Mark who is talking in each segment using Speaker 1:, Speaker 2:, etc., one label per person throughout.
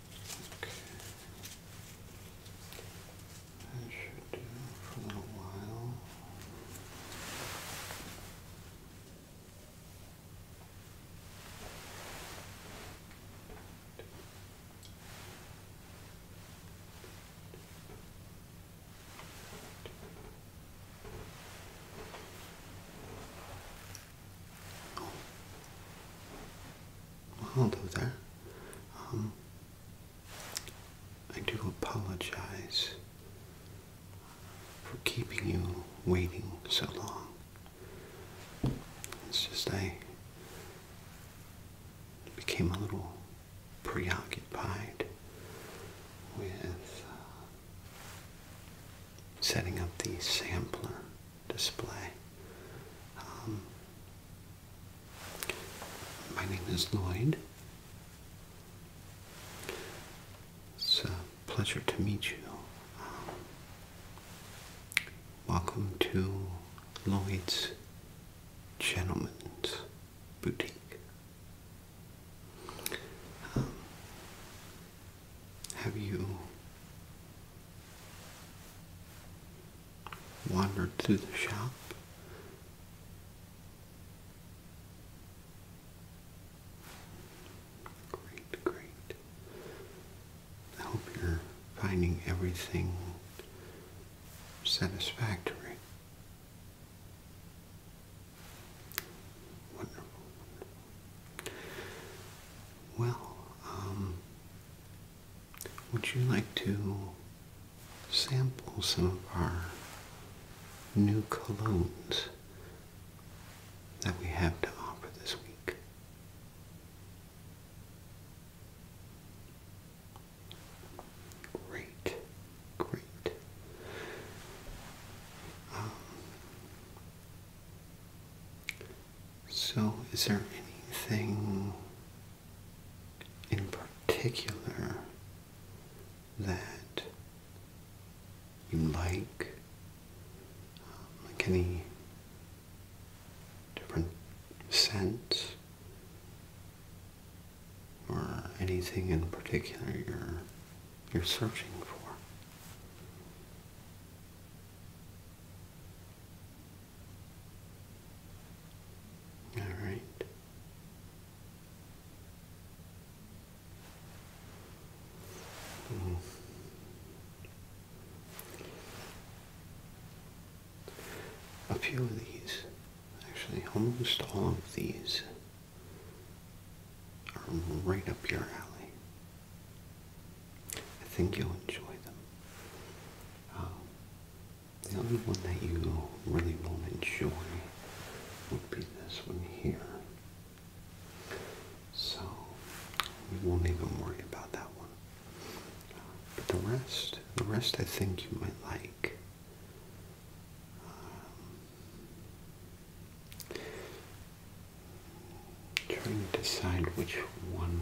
Speaker 1: Okay. That should do for a little while. Hello there. Um, I do apologize for keeping you waiting so long. It's just I became a little preoccupied with uh, setting up the sampler display. Um, my name is Lloyd. It's a pleasure to meet you. Um, welcome to Lloyd's Gentlemen's Boutique. Um, have you wandered through the shop. Great, great. I hope you're finding everything satisfactory. Wonderful, Well, um, would you like to sample some of our new colognes that we have to offer this week? Great, great. Um, so, is there anything in particular that you like, um, like any different scent or anything in particular you're you're searching for. All right. Hmm. A few of these, actually almost all of these, are right up your alley. I think you'll enjoy them. Um, the only one that you really won't enjoy would be this one here. So we won't even worry about that one. but the rest, the rest I think you might like. Um, trying to decide which one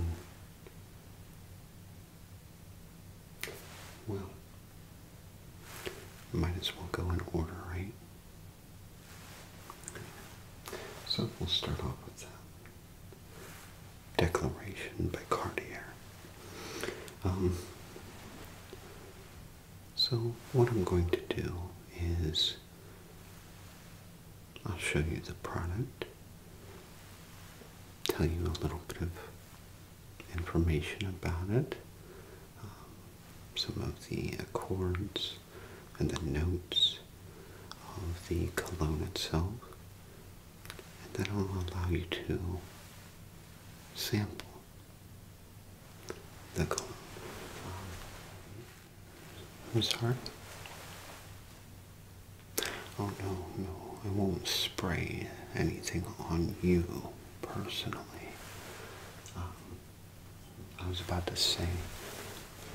Speaker 1: well, might as well go in order, right? So we'll start off with that declaration by Cartier. Um, so what I'm going to do is I'll show you the product tell you a little bit of information about it, um, some of the chords and the notes of the cologne itself, and that will allow you to sample the cologne. Um, I'm sorry. Oh no, no, I won't spray anything on you personally. Um, I was about to say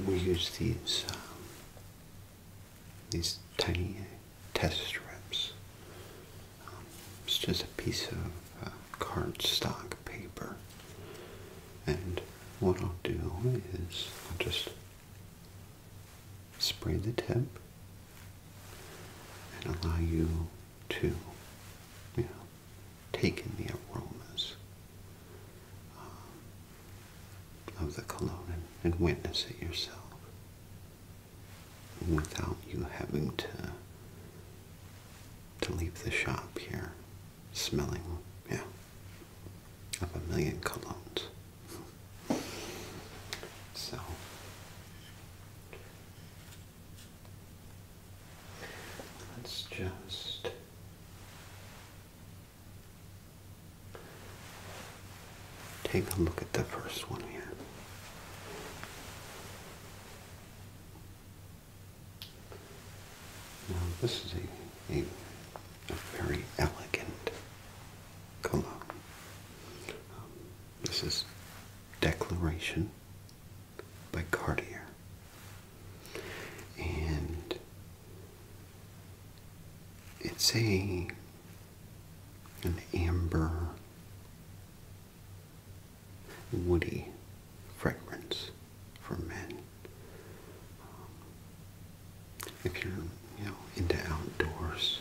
Speaker 1: we use these um, these tiny test strips. Um, it's just a piece of uh, cardstock paper, and what I'll do is just spray the tip and allow you to you know, take in the aromas um, of the cologne and, and witness it yourself without you having to to leave the shop here smelling yeah of a million colognes so let's just take a look at the first one here. Now this is a, a, very elegant colour. this is Declaration by Cartier. And it's a an amber woody fragrance for men. Um, if you're you know into outdoors,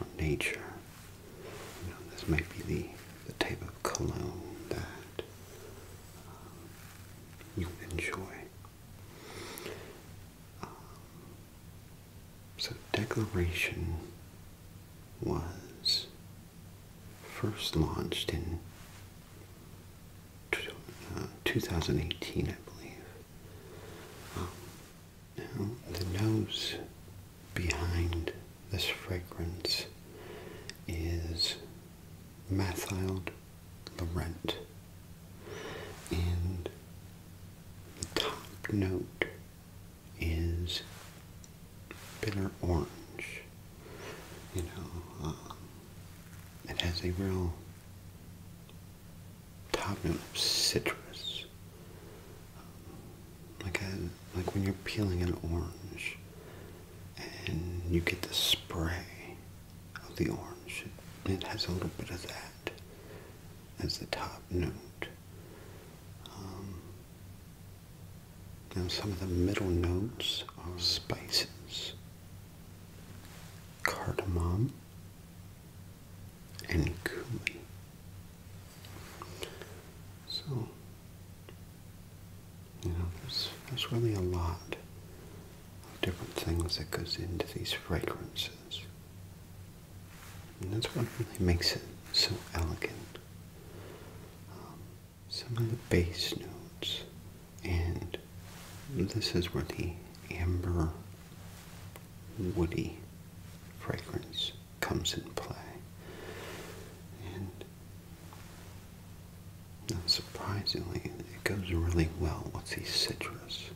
Speaker 1: or nature. this might be the, the type of cologne that um, you enjoy. Um, so Declaration was first launched in uh, 2018, I believe. Um, now, the nose behind this fragrance is Mathild Laurent, and the top note is bitter orange. You know, um, it has a real Top Tottenham citrus. Like like when you're peeling an orange, and you get the spray of the orange. It, has a little bit of that as the top note. Um, now some of the middle notes are spices, cardamom, and cumin. So, you know, there's, really a lot of different things that goes into these fragrances. And that's what really makes it so elegant. Um, some of the base notes, and this is where the amber woody fragrance comes in play. And not surprisingly, it goes really well with these citrus.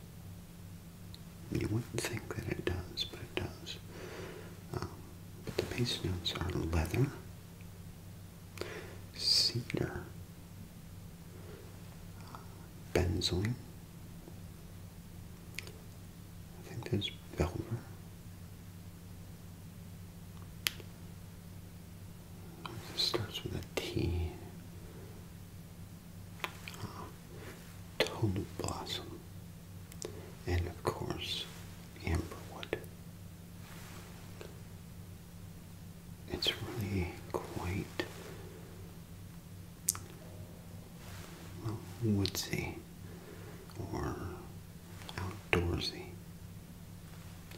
Speaker 1: You wouldn't think that it does, but it does. Um, but the base notes are leather, cedar, uh, benzoin, I think there's Belver. starts with a T. Uh, Blossom. And of course, Amberwood. It's really quite well, woodsy or outdoorsy.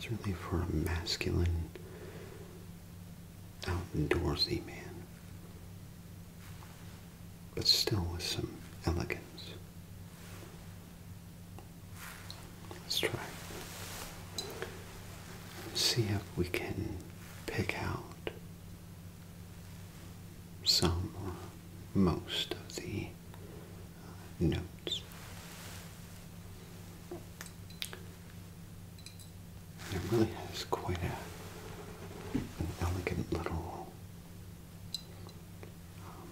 Speaker 1: Certainly for a masculine, outdoorsy man. But still with some elegance. Let's try. See if we can pick out some or most of the uh, notes. And it really has quite a, an elegant little um,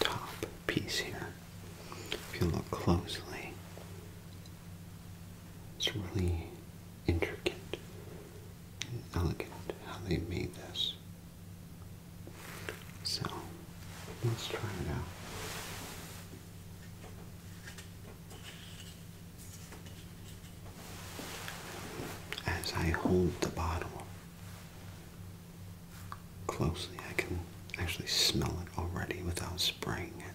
Speaker 1: top piece here. If you look closely, it's really intricate and elegant how they made this. So let's try it out. As I hold the bottle closely, I can actually smell it already without spraying it.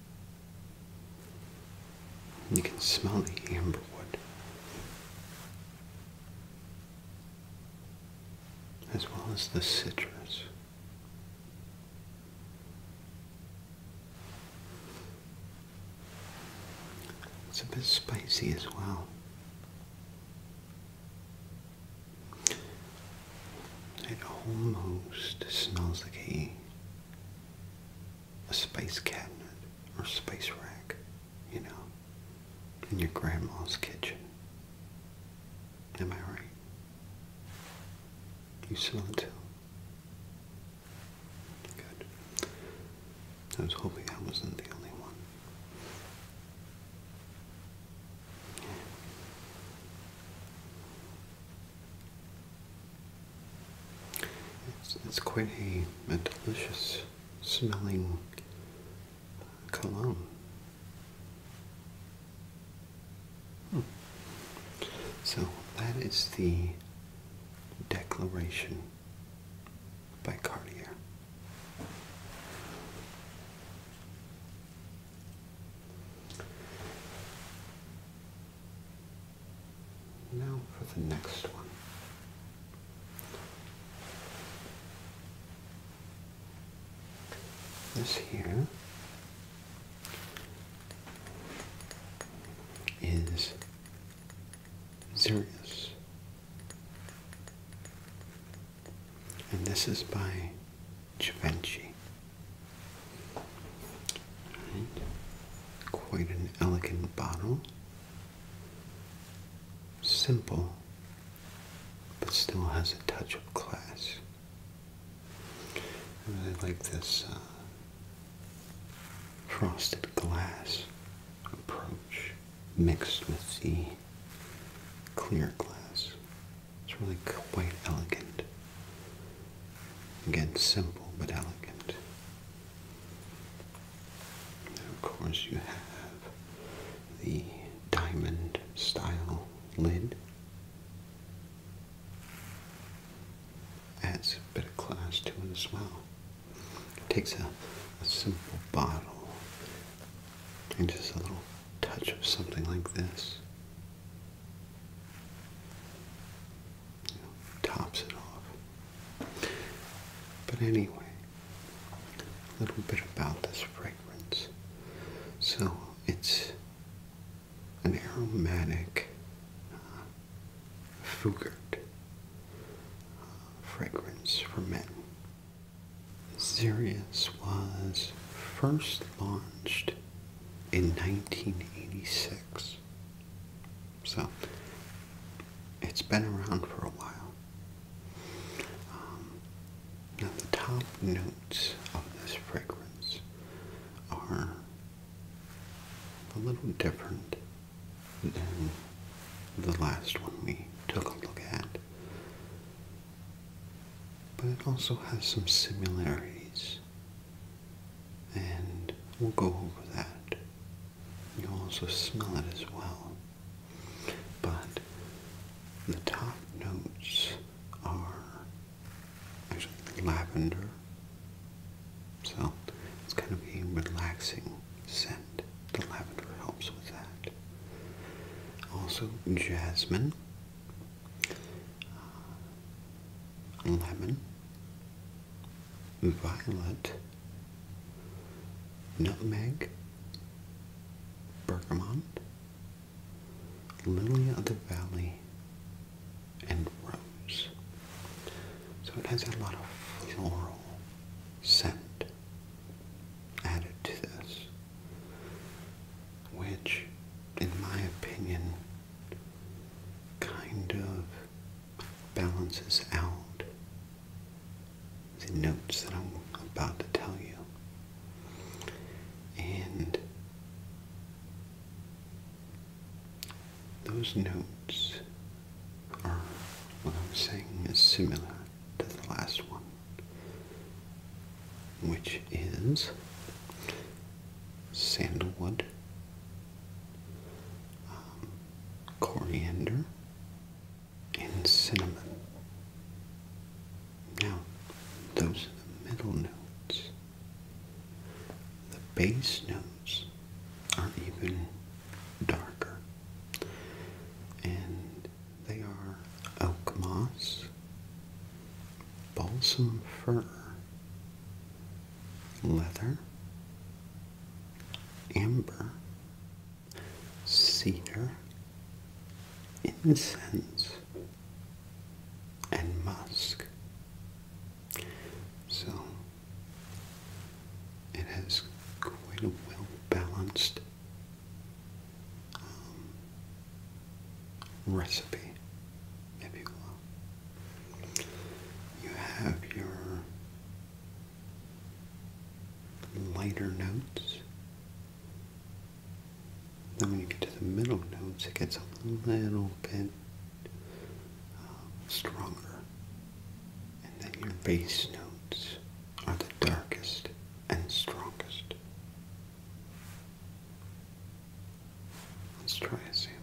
Speaker 1: You can smell the amberwood as well as the citrus. It's a bit spicy as well. It almost smells like a a space cabinet or space rack, you know, in your grandma's kitchen. Am I right? You smell it too? Good. I was hoping I wasn't the only one. It's, it's quite a, a delicious smelling cologne. Hmm. So that is the Declaration by Cartier. Now for the next one. This here is Xerius. And this is by Givenchy. Quite an elegant bottle. Simple, but still has a touch of class. I really like this uh, frosted glass approach mixed with the clear glass. It's really quite elegant. Again, simple but elegant. And of course, you have the diamond style lid. Adds a bit of class to it as well. takes a simple bottle and just a little touch of something like this tops it off. But anyway, a little bit about this fragrance. So it's an aromatic uh, uh fragrance for men. Zirius was first launched in 1986 so, it's been around for a while. Um, the top notes of this fragrance are a little different than the last one we took a look at. But it also has some similarities and we'll go over that. you also smell it as well. But the top notes are actually lavender. So it's kind of a relaxing scent. The lavender helps with that. Also jasmine, uh, lemon, violet, nutmeg, bergamot, lily of the valley, and rose. So it has a lot of floral scent added to this, which, in my opinion, kind of balances out the notes that I'm about to tell you. And those notes are, what I'm saying is similar to the last one, which is sandalwood, um, coriander, and cinnamon. Now, those are the middle notes. The base notes are even darker, and they are oak moss, balsam fir, leather, amber, cedar, incense, and musk. So it has quite a well balanced um, recipe, if you have your lighter notes. Then when you get to the middle notes, it gets a little bit uh, stronger. And then your bass notes are the darkest and strongest. Let's try a sample.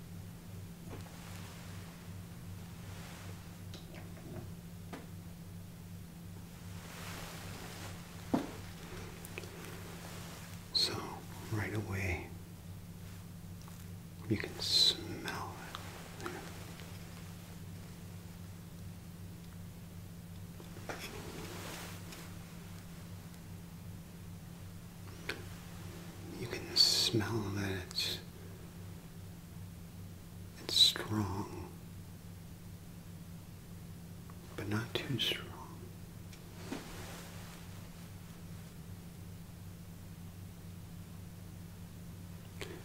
Speaker 1: So, right away, you can smell it. You can smell that it's strong, but not too strong.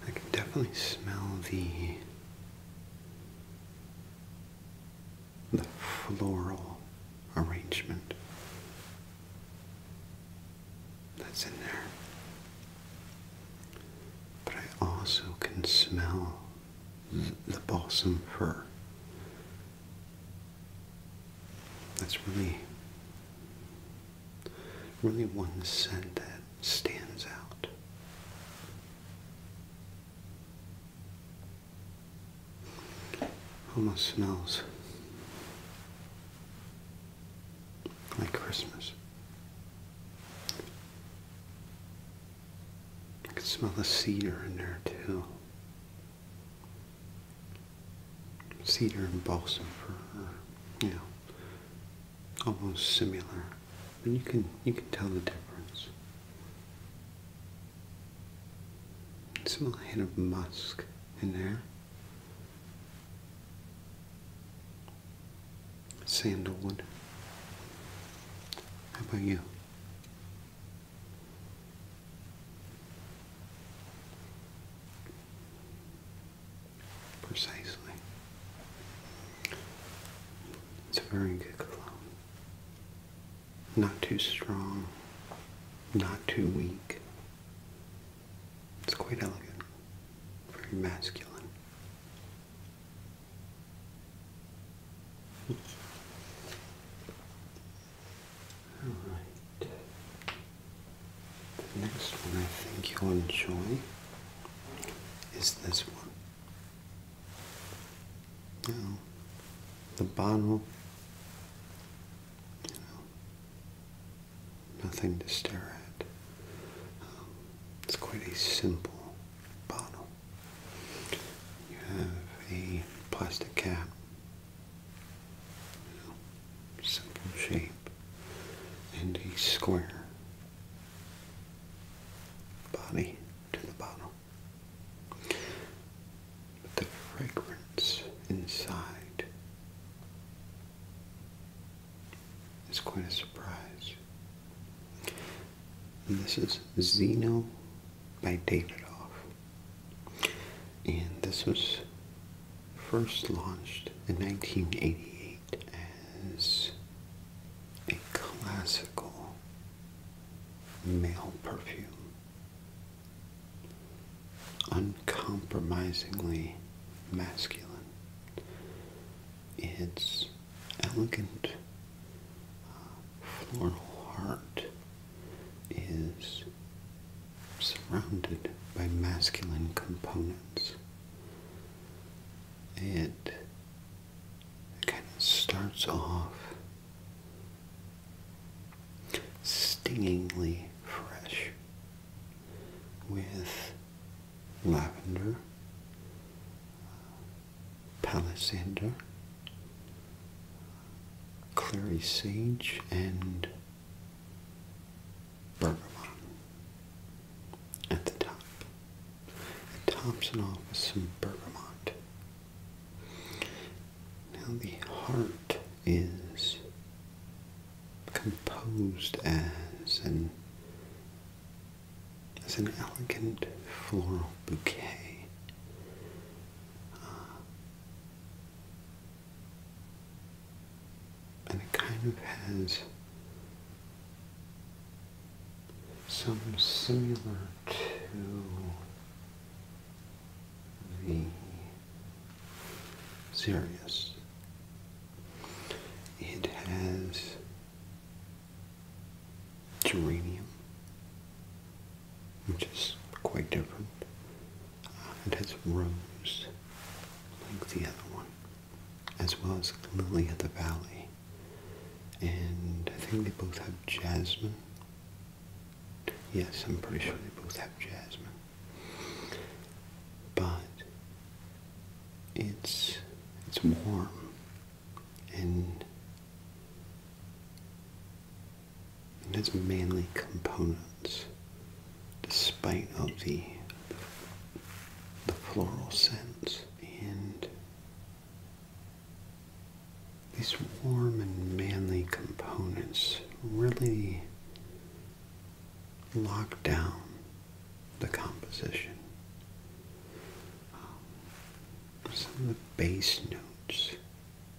Speaker 1: I can definitely smell the the floral arrangement that's in there. But I also can smell the balsam fir. That's really, really one scent that stands out. Almost smells like Christmas. I can smell the cedar in there too. Cedar and balsam for, you know, almost similar. but you can you can tell the difference. Smell a hint of musk in there. Sandalwood. How about you? Precisely. It's a very good cologne. Not too strong, not too weak. It's quite elegant, very masculine. All right. The next one I think you'll enjoy is this one. Now, the bottle nothing to stare at. it's quite a simple bottle. You have a plastic cap. simple shape and a square body to the bottle. But the fragrance inside is quite a surprise. this is Zeno by Davidoff. And this was first launched in 1988 as a classical male perfume uncompromisingly masculine. Its elegant uh, floral heart is surrounded by masculine components. It kind of starts off stingingly fresh with lavender, palisander, clary sage, and bergamot at the top. Thompson tops off with some bergamot. Now the heart is composed as an as an elegant floral bouquet. Uh, and it kind of has some similar to the Sirius. It has geranium, which is quite different. Uh, it has rose, like the other one, as well as lily of the valley. And I think they both have jasmine. Yes, I'm pretty sure they both have jasmine but it's it's warm and it's manly components despite of the the floral scents and these warm and manly components really lock down the composition. some of the bass notes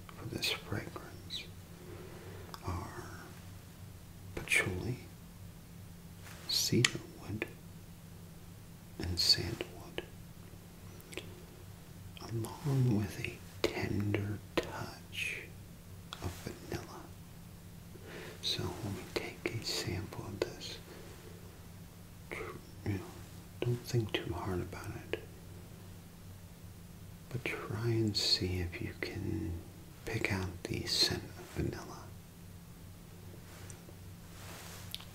Speaker 1: for this fragrance are patchouli, cedarwood, and sandalwood, along with a tender touch of vanilla. So let me take a sample of this, you know, don't think too hard about it, but try and see if you can pick out the scent of vanilla.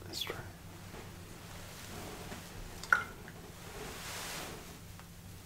Speaker 1: Let's try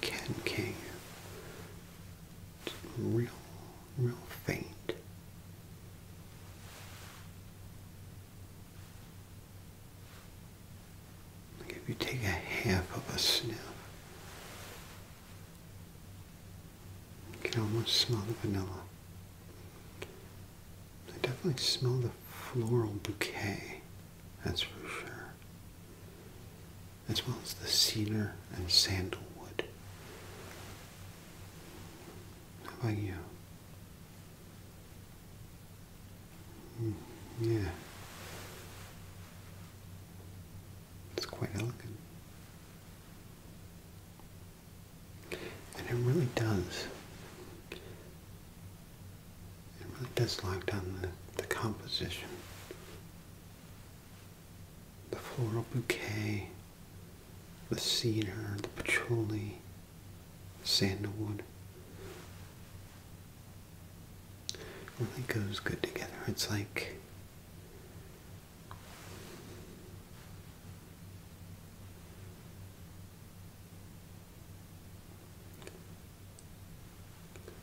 Speaker 1: Ken King. real, real faint. if you take a half of a sniff, you can almost smell the vanilla. I definitely smell the floral bouquet, that's for sure, as well as the cedar and sandalwood. How about you? Mm, yeah. It's quite elegant. And it really does. It really does lock down the, the composition. The floral bouquet, the cedar, the patchouli, sandalwood. It really goes good together. It's like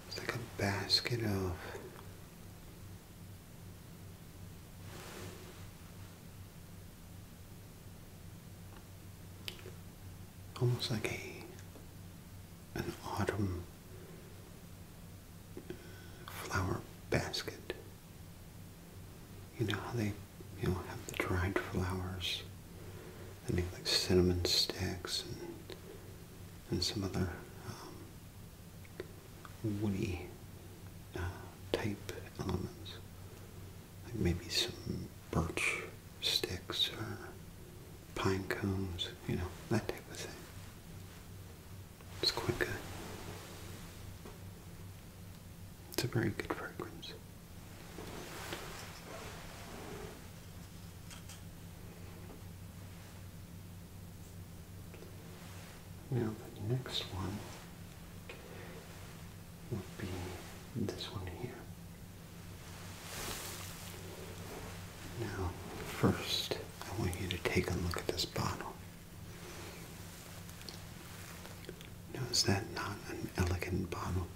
Speaker 1: it's like a basket of almost like a an autumn flower basket. You know how they, you know, have the dried flowers. and make like cinnamon sticks and and some other um, woody uh, type elements, like maybe some birch sticks or pine cones, you know, that type of thing. It's quite good. It's a very good fragrance. Now the next one would be this one here. Now, first, I want you to take a look at this bottle. Now is that not an elegant bottle?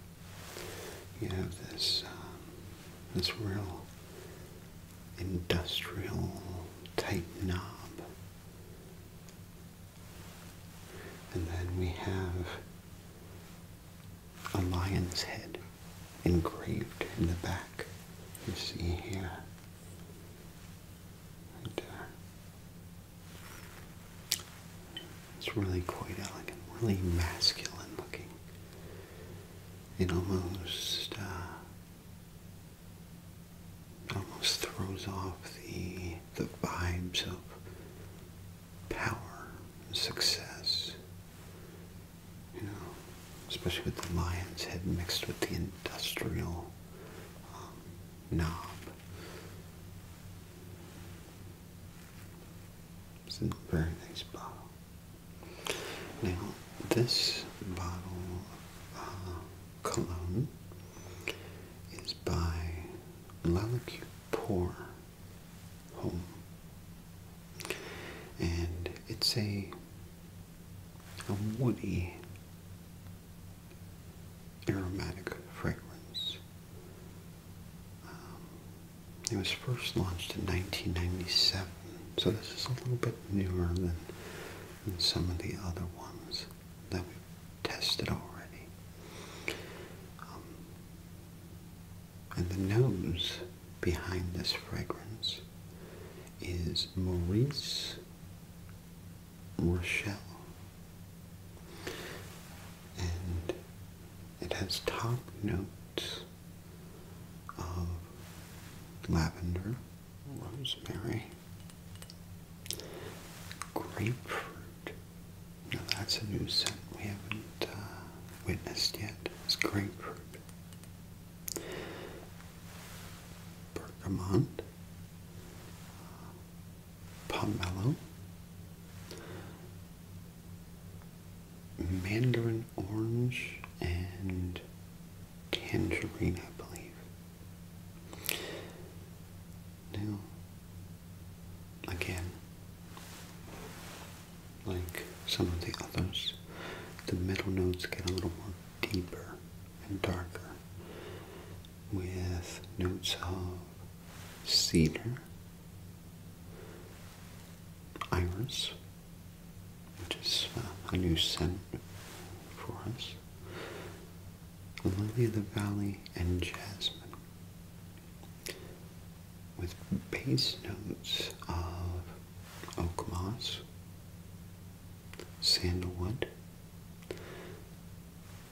Speaker 1: You have this um, this real industrial type knob. And then we have a lion's head engraved in the back. You see here. Right uh, there. It's really quite elegant, really masculine looking. and almost uh, almost throws off the the vibes of power and success. You know, especially with the lion's head mixed with the industrial um, knob. It's a very nice bottle. Now, this bottle of uh, cologne is by Lalacute Pour Home. And it's a, a woody aromatic fragrance. Um, it was first launched in 1997, so this is a little bit newer than, some of the other ones that we've tested already. Um, and the nose behind this fragrance is Maurice more And it has top notes of lavender, rosemary, grapefruit. Now that's a new scent we haven't uh, witnessed yet. It's grapefruit. Bergamot, pomelo, mandarin orange, and tangerine, I believe. Now, again, like some of the others, the middle notes get a little more deeper and darker with notes of cedar, iris, which is uh, a new scent for us, lily of the valley, and jasmine. With base notes of oak moss, sandalwood,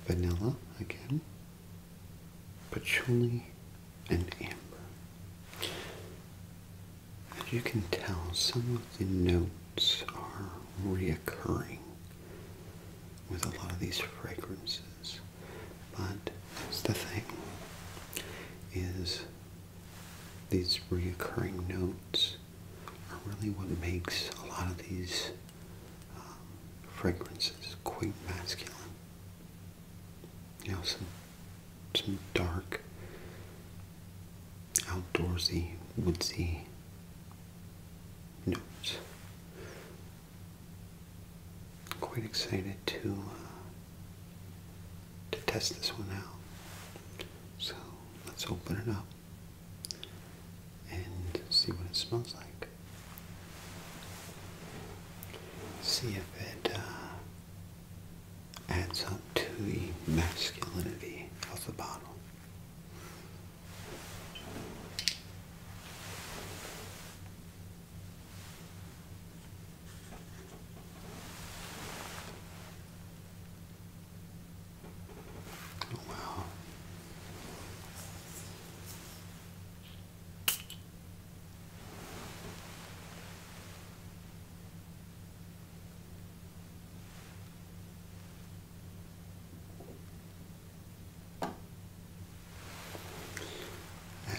Speaker 1: vanilla again, patchouli, and amber. As you can tell, some of the notes are reoccurring with a lot of these fragrances, but the thing, is these reoccurring notes are really what makes a lot of these fragrances, quite masculine. You know, some some dark, outdoorsy, woodsy notes. quite excited to uh, to test this one out. So let's open it up and see what it smells like. See if it uh, adds up to the masculinity of the bottle.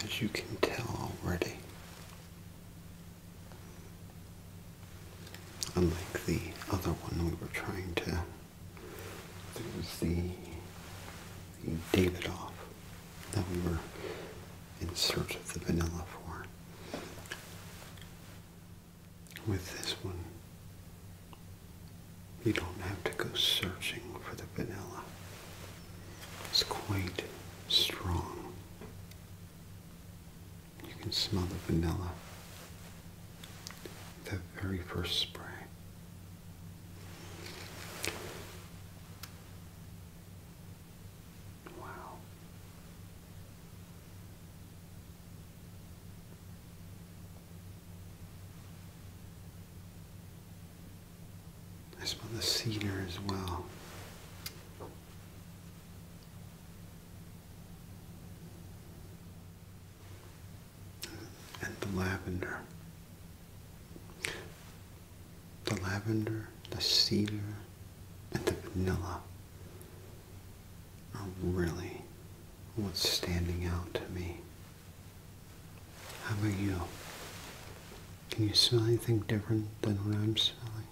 Speaker 1: As you can tell already, unlike the other one we were trying to it was the Davidoff that we were in search of the vanilla for. With this one, you don't have to go searching for the vanilla. It's quite strong. You can smell the vanilla the very first spray. Wow. I smell the cedar as well and the lavender. The lavender, the cedar, and the vanilla are really what's standing out to me. How about you? Can you smell anything different than what I'm smelling?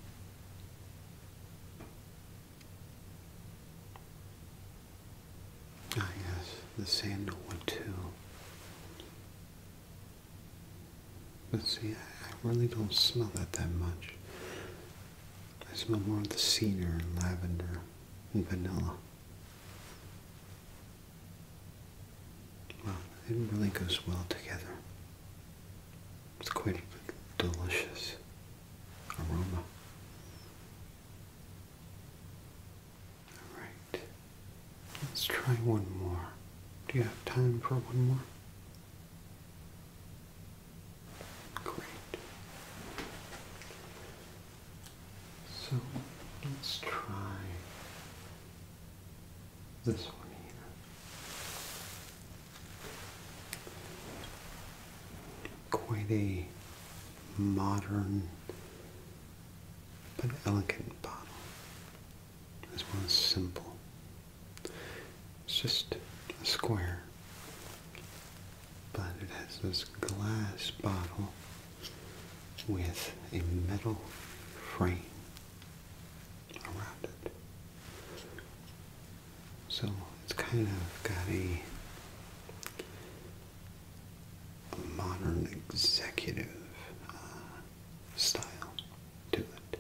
Speaker 1: Ah, yes, the sandalwood too. But see, I really don't smell that that much. I smell more of the cedar and lavender and vanilla. Well, it really goes well together. It's quite a delicious aroma. All right. Let's try one more. Do you have time for one more? Great. So let's try this one here. Quite a modern but elegant bottle as well as simple. It's just a square, but it has this glass bottle with a metal frame around it. So it's kind of got a a modern executive uh, style to it.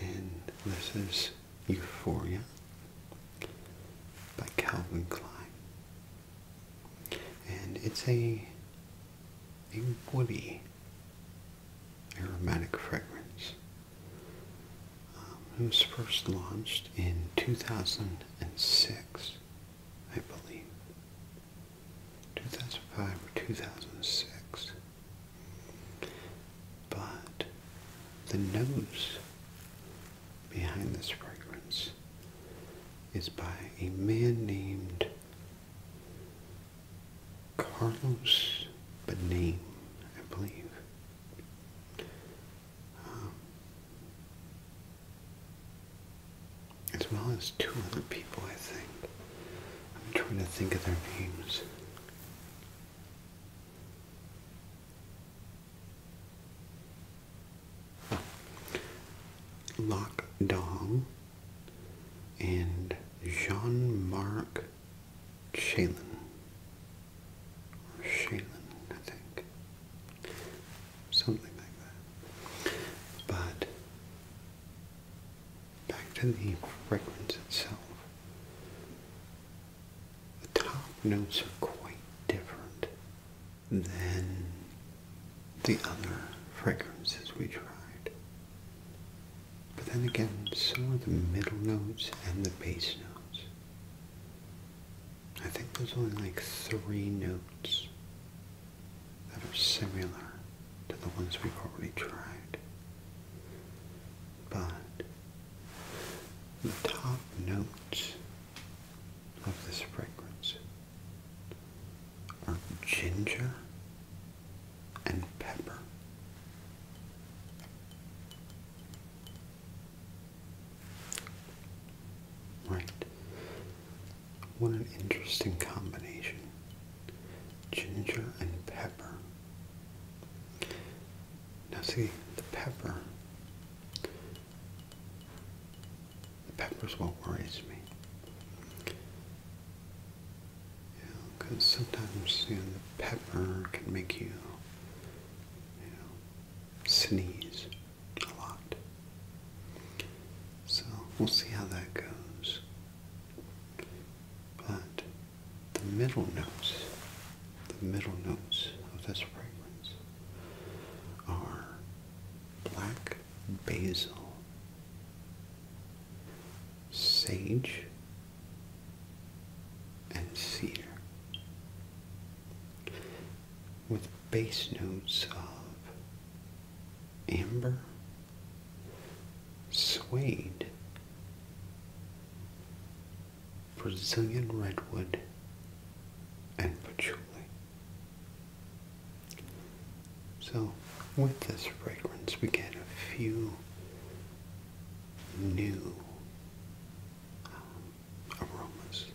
Speaker 1: And this is Euphoria by Calvin Klein. And it's a, a woody aromatic fragrance. Um, it was first launched in 2006 I believe, 2005 or 2006. But the nose behind this fragrance is by a man named Carlos Bename, I believe. Um, as well as two other people, I think. I'm trying to think of their names. Lock Dong and Jean-Marc Chalin. Or I think something like that. But back to the fragrance itself. The top notes are quite different than the other fragrances we tried. But then again, so are the middle notes and the base notes. I think there's only like three notes that are similar to the ones we've already tried. But the top notes of this fragrance are ginger and pepper. Right. What an interesting combination. Ginger and pepper. Now see, the pepper, the pepper's what worries me. Because sometimes you know, the pepper can make you, you know, sneeze a lot. So we'll see how that goes. But the middle notes, the middle notes of this fragrance are black basil, sage, and cedar with bass notes of amber, suede, Brazilian redwood, and patchouli. So, with this fragrance, we get a few new um, aromas.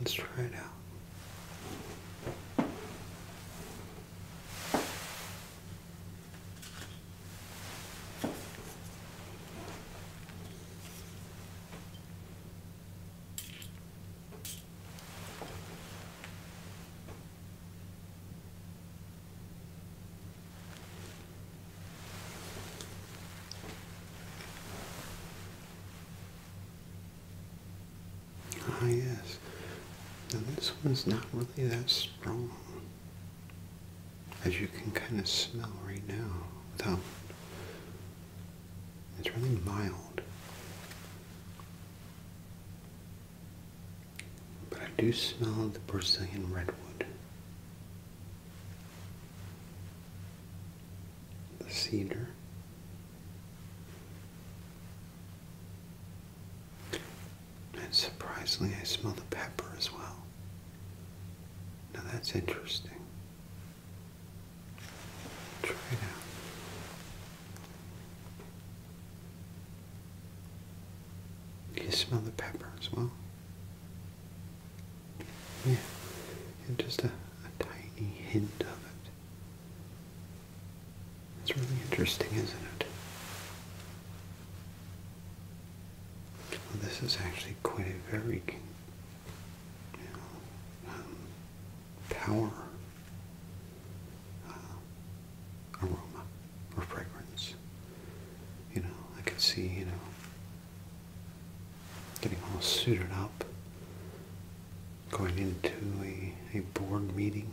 Speaker 1: Let's try it out. Ah, yes. Now, this one's not really that strong. As you can kind of smell right now, without. It's really mild. But I do smell the Brazilian redwood the cedar. And surprisingly, I smell the pepper as well. Now that's interesting. Try it out. you smell the pepper as well? Yeah, and just a, tiny hint of it. It's really interesting, isn't it? Well, this is actually quite a very you um, power uh, aroma or fragrance. You know, I can see, you know, Getting all suited up, going into a, a board meeting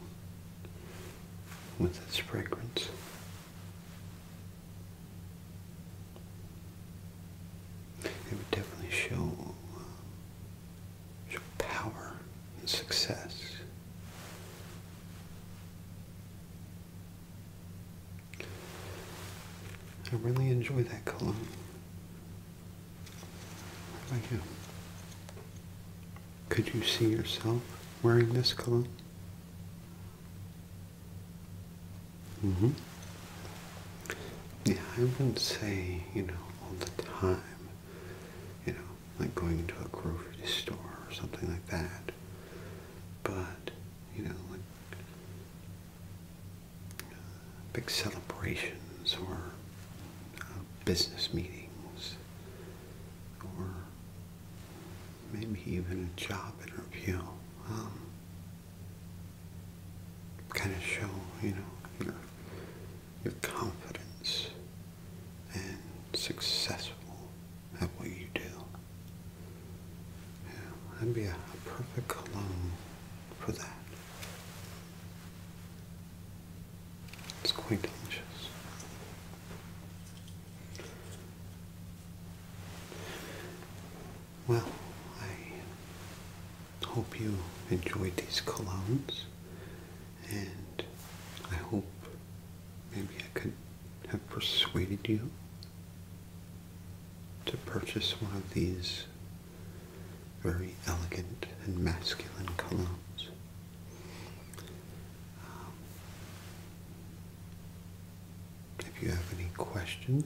Speaker 1: with this fragrance. It would definitely show, show power and success. I really enjoy that cologne. How about Could you see yourself wearing this cologne? hmm Yeah, I wouldn't say, you know, all the time, you know, like going into a grocery store or something like that. But, you know, like big celebrations or uh, business meetings or maybe even a job interview. Um, kind of show, you know, your confidence and successful at what you do that'd be a, a perfect cologne for that. It's quite delicious. Well, I hope you enjoyed these colognes, and I hope maybe I could have persuaded you to purchase one of these very elegant and masculine colognes. Um, if you have any questions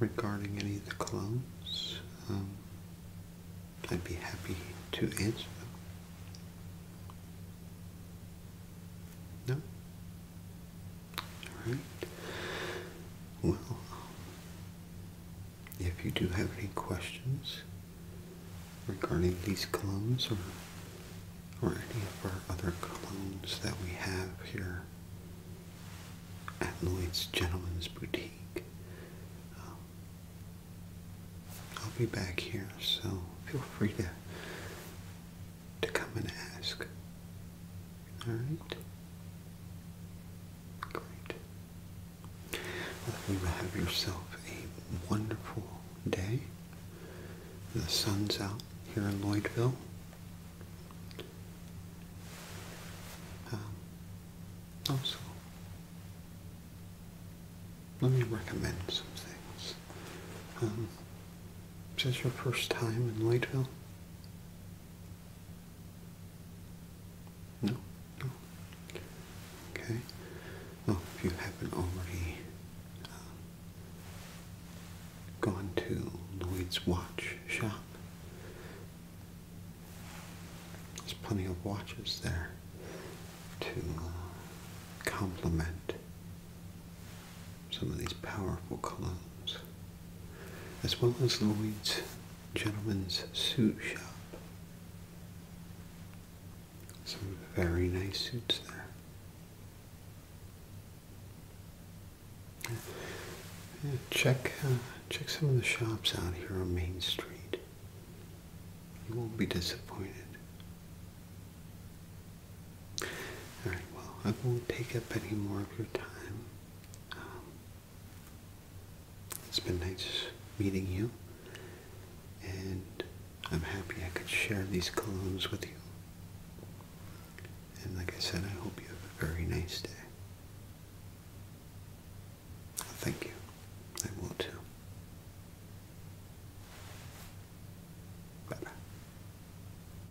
Speaker 1: regarding any of the colognes, um, I'd be happy to answer them. No? All right. Well, if you do have any questions regarding these clones or or any of our other clones that we have here at Lloyd's Gentleman's Boutique, um, I'll be back here, so feel free to to come and ask. All right. Great. Well, you have yourself a wonderful day. The sun's out here in Lloydville. Um, also, let me recommend some things. Um, is this your first time in Whiteville? No? No? Okay. Well, if you haven't already uh, gone to Lloyd's watch shop, there's plenty of watches there to uh, complement some of these powerful columns, as well as Lloyd's Gentleman's Suit Shop. Some very nice suits there. check uh, check some of the shops out here on Main Street. You won't be disappointed. All right. Well, I won't take up any more of your time. Um, it's been nice meeting you, and I'm happy I could share these columns with you. And like I said, I hope you have a very nice day. Thank you. I will too. Bye-bye.